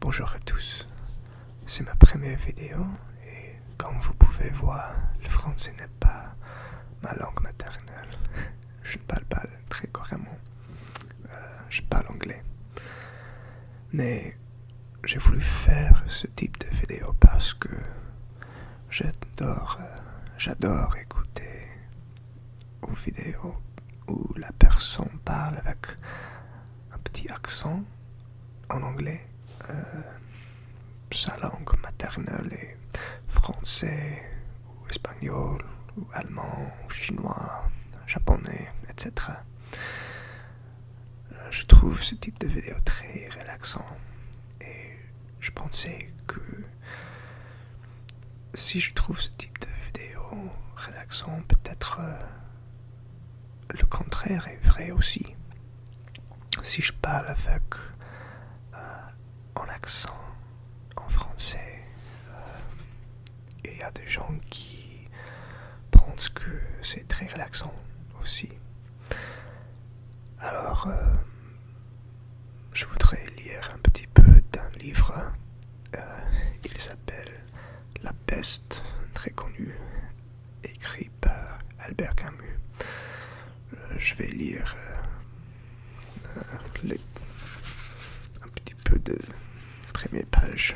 Bonjour à tous, c'est ma première vidéo et comme vous pouvez voir, le français n'est pas ma langue maternelle. Je ne parle pas très couramment. Euh, je parle anglais. Mais j'ai voulu faire ce type de vidéo parce que j'adore euh, écouter aux vidéos où la personne parle avec un petit accent en anglais, euh, sa langue maternelle est français ou espagnol ou allemand ou chinois, japonais, etc. Euh, je trouve ce type de vidéo très relaxant et je pensais que si je trouve ce type de vidéo relaxant, peut-être euh, le contraire est vrai aussi. Si je parle avec un euh, accent en français, euh, il y a des gens qui pensent que c'est très relaxant aussi. Alors, je voudrais lire un petit peu d'un livre. Euh, il s'appelle La peste, très connu, écrit par Albert Camus. Euh, je vais lire euh, un petit peu de première page.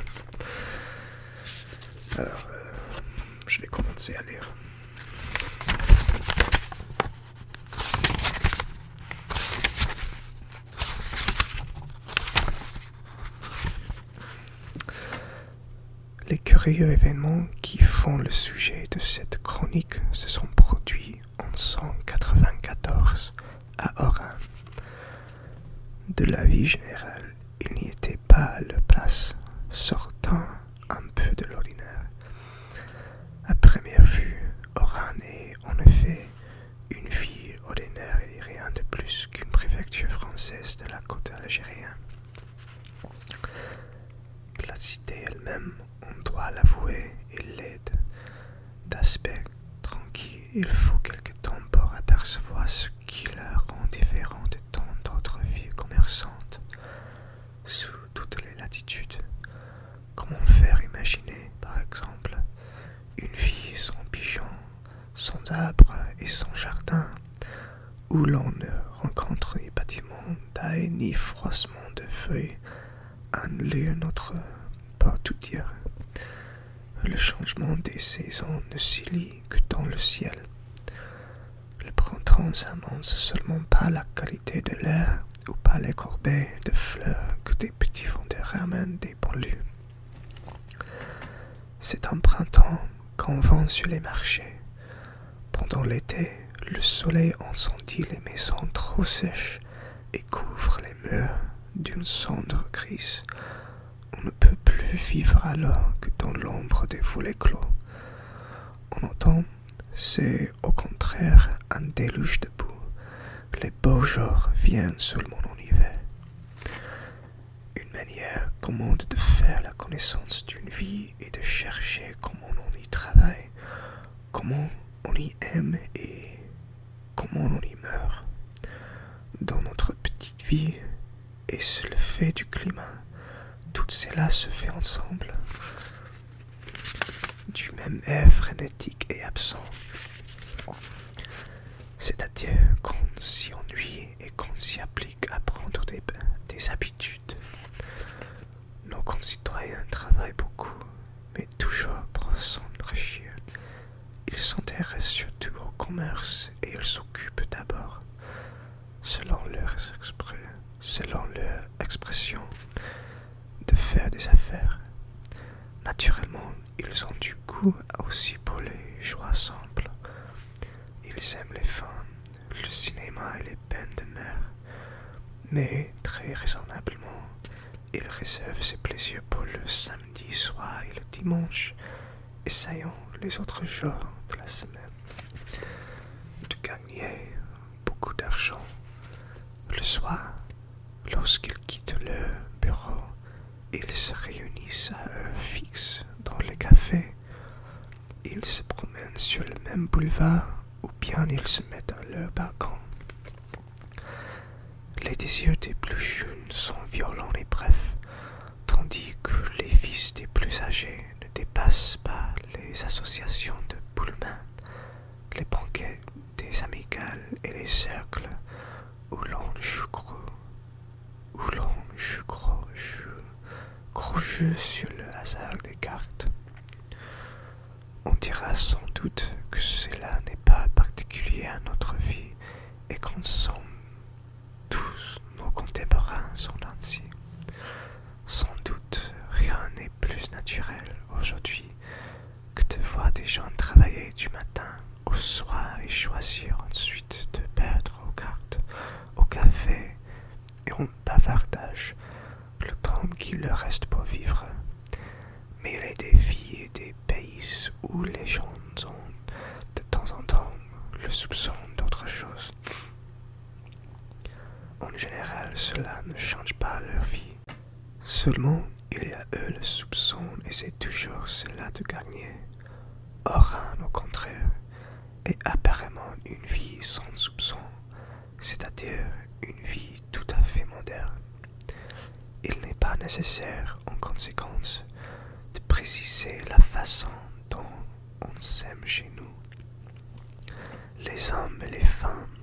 Alors, je vais commencer à lire. Les curieux événements qui font le sujet de cette chronique se sont produits en 194 à Oran. De la vie générale, il n'y était pas à leur place, sortant un peu de l'ordinaire. À première vue, Oran est en effet une ville ordinaire et rien de plus qu'une préfecture française de la côte algérienne. La cité elle-même, on doit l'avouer, est laide. D'aspect tranquille, il faut quelque temps pour apercevoir ce qui la rend différente de tant d'autres villes commerçantes sous toutes les latitudes. Comment faire imaginer, par exemple, une vie sans pigeons, sans arbres et sans jardin, où l'on ne rencontre ni bâtiments d'ail ni froissement de feuilles, un lieu notre pas tout dire. Le changement des saisons ne s'y que dans le ciel. Le printemps s'annonce seulement pas la qualité de l'air ou pas les corbeilles de fleurs que des petits vendeurs amènent des banlieues. C'est un printemps qu'on vend sur les marchés. Pendant l'été, le soleil incendie les maisons trop sèches et couvre les murs d'une cendre grise. On ne peut plus vivre alors que dans l'ombre des volets clos. On entend c'est au contraire un déluge de boue. Les beaux jours viennent seulement en hiver. Une manière commode de faire la connaissance d'une vie et de chercher comment on y travaille, comment on y aime et comment on y meurt. Dans notre petite vie, et le fait du climat, tout cela se fait ensemble du même air frénétique et absent. C'est-à-dire qu'on s'y ennuie et qu'on s'y applique à prendre des, des habitudes. Nos concitoyens travaillent beaucoup, mais toujours pour s'enrichir. Ils s'intéressent surtout au commerce et ils s'occupent d'abord selon leur, expression, de faire des affaires. Naturellement, ils ont du goût aussi pour les joies simples. Ils aiment les femmes, le cinéma et les peines de mer. Mais, très raisonnablement, ils réservent ces plaisirs pour le samedi soir et le dimanche, essayons les autres jours de la semaine de gagner beaucoup d'argent. Le soir, lorsqu'ils quittent le bureau, ils se réunissent à heure fixe dans le café. Ils se promènent sur le même boulevard ou bien ils se mettent à leur balcon. Les désirs des plus jeunes sont violents et brefs tandis que les fils des plus âgés ne dépassent pas les associations de Pullman, les banquets des amicales et les cercles où l'on joue gros, où l'on joue sur le hasard des cartes. On dira sans doute que cela n'est pas particulier à notre vie et qu'on somme, tous nos contemporains sont ainsi. Sans doute, rien n'est plus naturel aujourd'hui que de voir des gens travailler du matin au soir et choisir ensuite de perdre aux cartes, au café et en bavardage le temps qu'il leur reste pour vivre. Mais les défis et des pays où les gens ont de temps en temps le soupçon d'autre chose. En général, cela ne change pas leur vie. Seulement, il y a eux le soupçon et c'est toujours cela de gagner. Or, au contraire, est apparemment une vie sans soupçon, c'est-à-dire une vie tout à fait moderne. Il n'est pas nécessaire, en conséquence, de préciser la façon dont on s'aime chez nous. Les hommes et les femmes,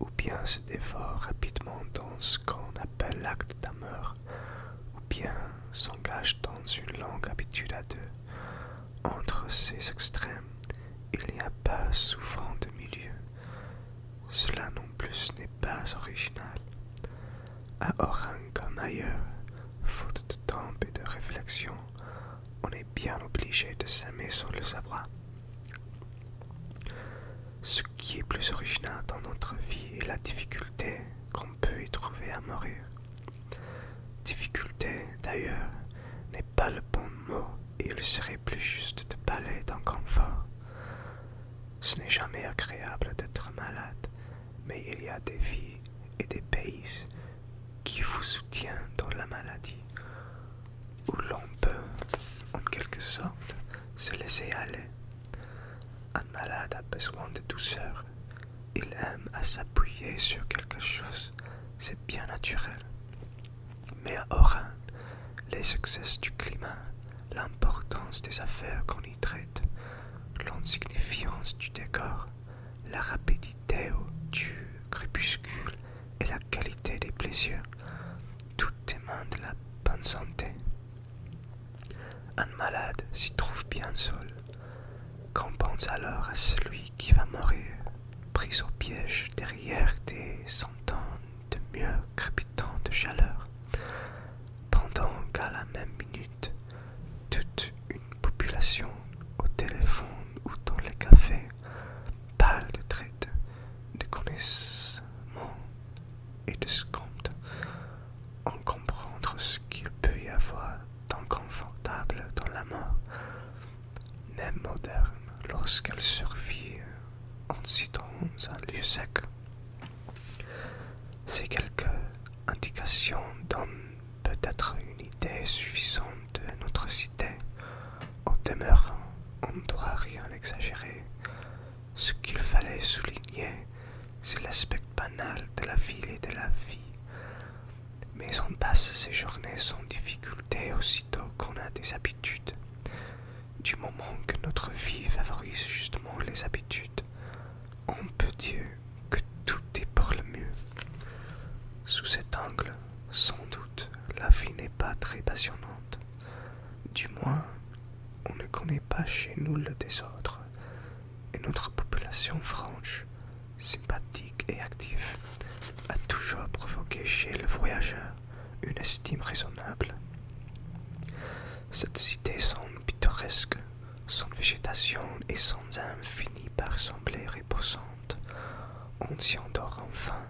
ou bien se dévorent rapidement dans ce qu'on appelle l'acte d'amour, ou bien s'engagent dans une longue habitude à deux. Entre ces extrêmes, il n'y a pas souvent de milieu. Cela non plus n'est pas original à Oran comme ailleurs, faute de temps et de réflexion, on est bien obligé de s'aimer sur le savoir. Ce qui est plus original dans notre vie est la difficulté qu'on peut y trouver à mourir. Difficulté, d'ailleurs, n'est pas le bon mot et il serait plus juste de parler d'un confort. Ce n'est jamais agréable d'être malade mais il y a des vies et des pays qui vous soutiennent dans la maladie, où l'on peut, en quelque sorte, se laisser aller. Un malade a besoin de douceur. Il aime à s'appuyer sur quelque chose. C'est bien naturel. Mais à Oran, les succès du climat l'importance des affaires qu'on y traite, l'insignifiance du décor, la rapidité du crépuscule et la qualité des plaisirs, tout émane de la bonne santé. Un malade s'y trouve bien seul. Qu'on pense alors à celui qui va mourir, pris au piège derrière des centaines de mieux crépitant de chaleur, pendant qu'à la même minute, toute une population au téléphone ou dans les cafés parle de traite, de connaissement et de scompte, en comprendre ce qu'il peut y avoir d'inconfortable dans la mort, même moderne, lorsqu'elle survit en citant un lieu sec. Ces quelques indications donnent peut-être une idée suffisante de notre cité. En demeurant, on ne doit rien exagérer. Ce qu'il fallait souligner, c'est l'aspect banal de la ville et de la vie. Mais on passe ces journées sans difficulté aussitôt qu'on a des habitudes du moment que notre vie favorise justement les habitudes, on peut dire que tout est pour le mieux. Sous cet angle, sans doute, la vie n'est pas très passionnante. Du moins, on ne connaît pas chez nous le désordre, et notre population franche, sympathique et active, a toujours provoqué chez le voyageur une estime raisonnable. Cette cité semble pittoresque, sans végétation et sans âme finit par sembler reposante. On s'y endort enfin,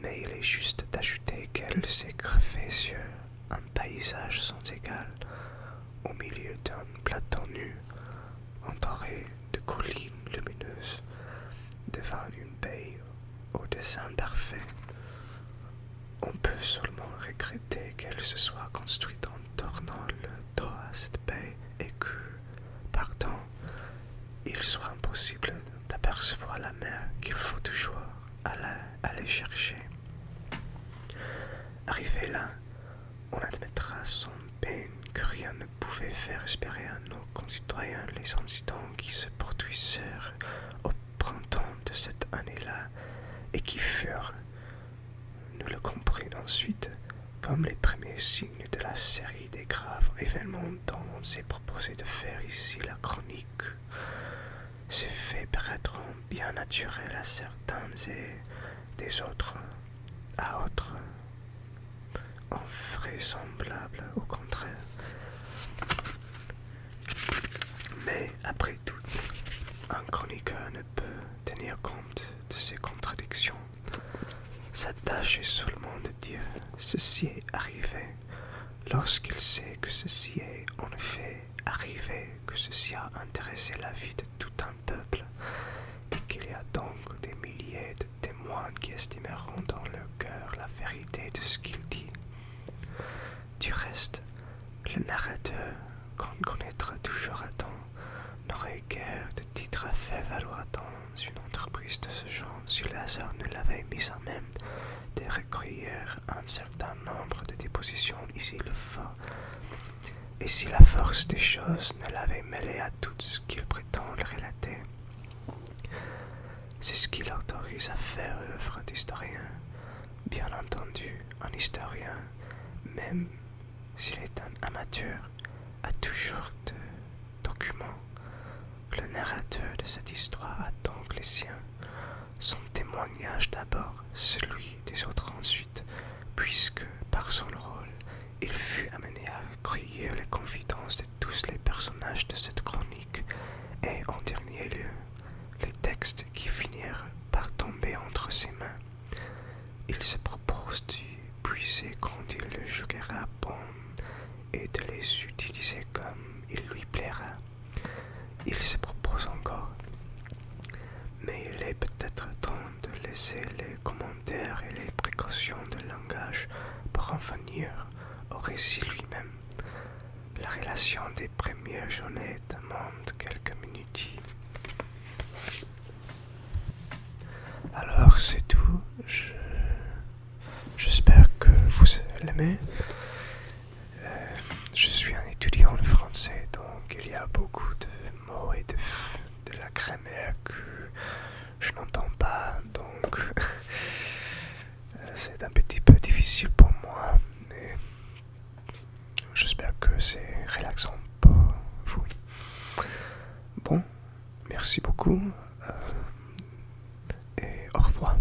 mais il est juste d'ajouter qu'elle s'est sur un paysage sans égal, au milieu d'un plateau nu, entouré de collines lumineuses, devant une baie au dessin parfait. On peut seulement regretter qu'elle se soit construite en tournant le dos à cette baie et que, partant, il soit impossible d'apercevoir la mer qu'il faut toujours aller, chercher. Arrivé là, on admettra son peine que rien ne pouvait faire espérer un concitoyens les incidents qui se produisirent au printemps de cette année-là et qui furent, nous le comprenons ensuite, comme les premiers signes de la série des graves événements dont on s'est proposé de faire ici la chronique. Ces faits paraîtront bien naturels à certains et des autres à autres. Vraisemblable au contraire. Mais après tout, un chroniqueur ne peut tenir compte de ces contradictions. Sa tâche est seulement de dire ceci est arrivé lorsqu'il sait que ceci est en effet arrivé, que ceci a intéressé la vie de tout un peuple et qu'il y a donc des milliers de témoins qui estimeront dans leur cœur la vérité de ce qu'il dit. Du reste, le narrateur, qu'on connaîtra toujours à temps, n'aurait guère de titre à faire valoir dans une entreprise de ce genre si le hasard ne l'avait mis à même de recueillir un certain nombre de dépositions ici le fort, et si la force des choses ne l'avait mêlé à tout ce qu'il prétend le relater. C'est ce qui l'autorise à faire œuvre d'historien, bien entendu un historien, même s'il est un amateur, a toujours de documents. Le narrateur de cette histoire a donc les siens, son témoignage d'abord, celui des autres ensuite, puisque par son rôle il fut amené à crier les confidences de tous les personnages de cette chronique et, en dernier lieu, les textes qui finirent par tomber entre ses mains. Il se propose d'y puiser quand il le jugera bon et de les utiliser comme il lui plaira. Il se propose encore. Mais il est peut-être temps de laisser les commentaires et les précautions de langage pour en venir au récit lui-même. La relation des premières journées demande quelques minutes. Alors c'est tout. J'espère que vous l'aimez. Euh, je suis un étudiant de français, donc il y a beaucoup de et de, la la crémère que je n'entends pas, donc euh, c'est un petit peu difficile pour moi, mais j'espère que c'est relaxant pour vous. Bon, merci beaucoup euh, et au revoir.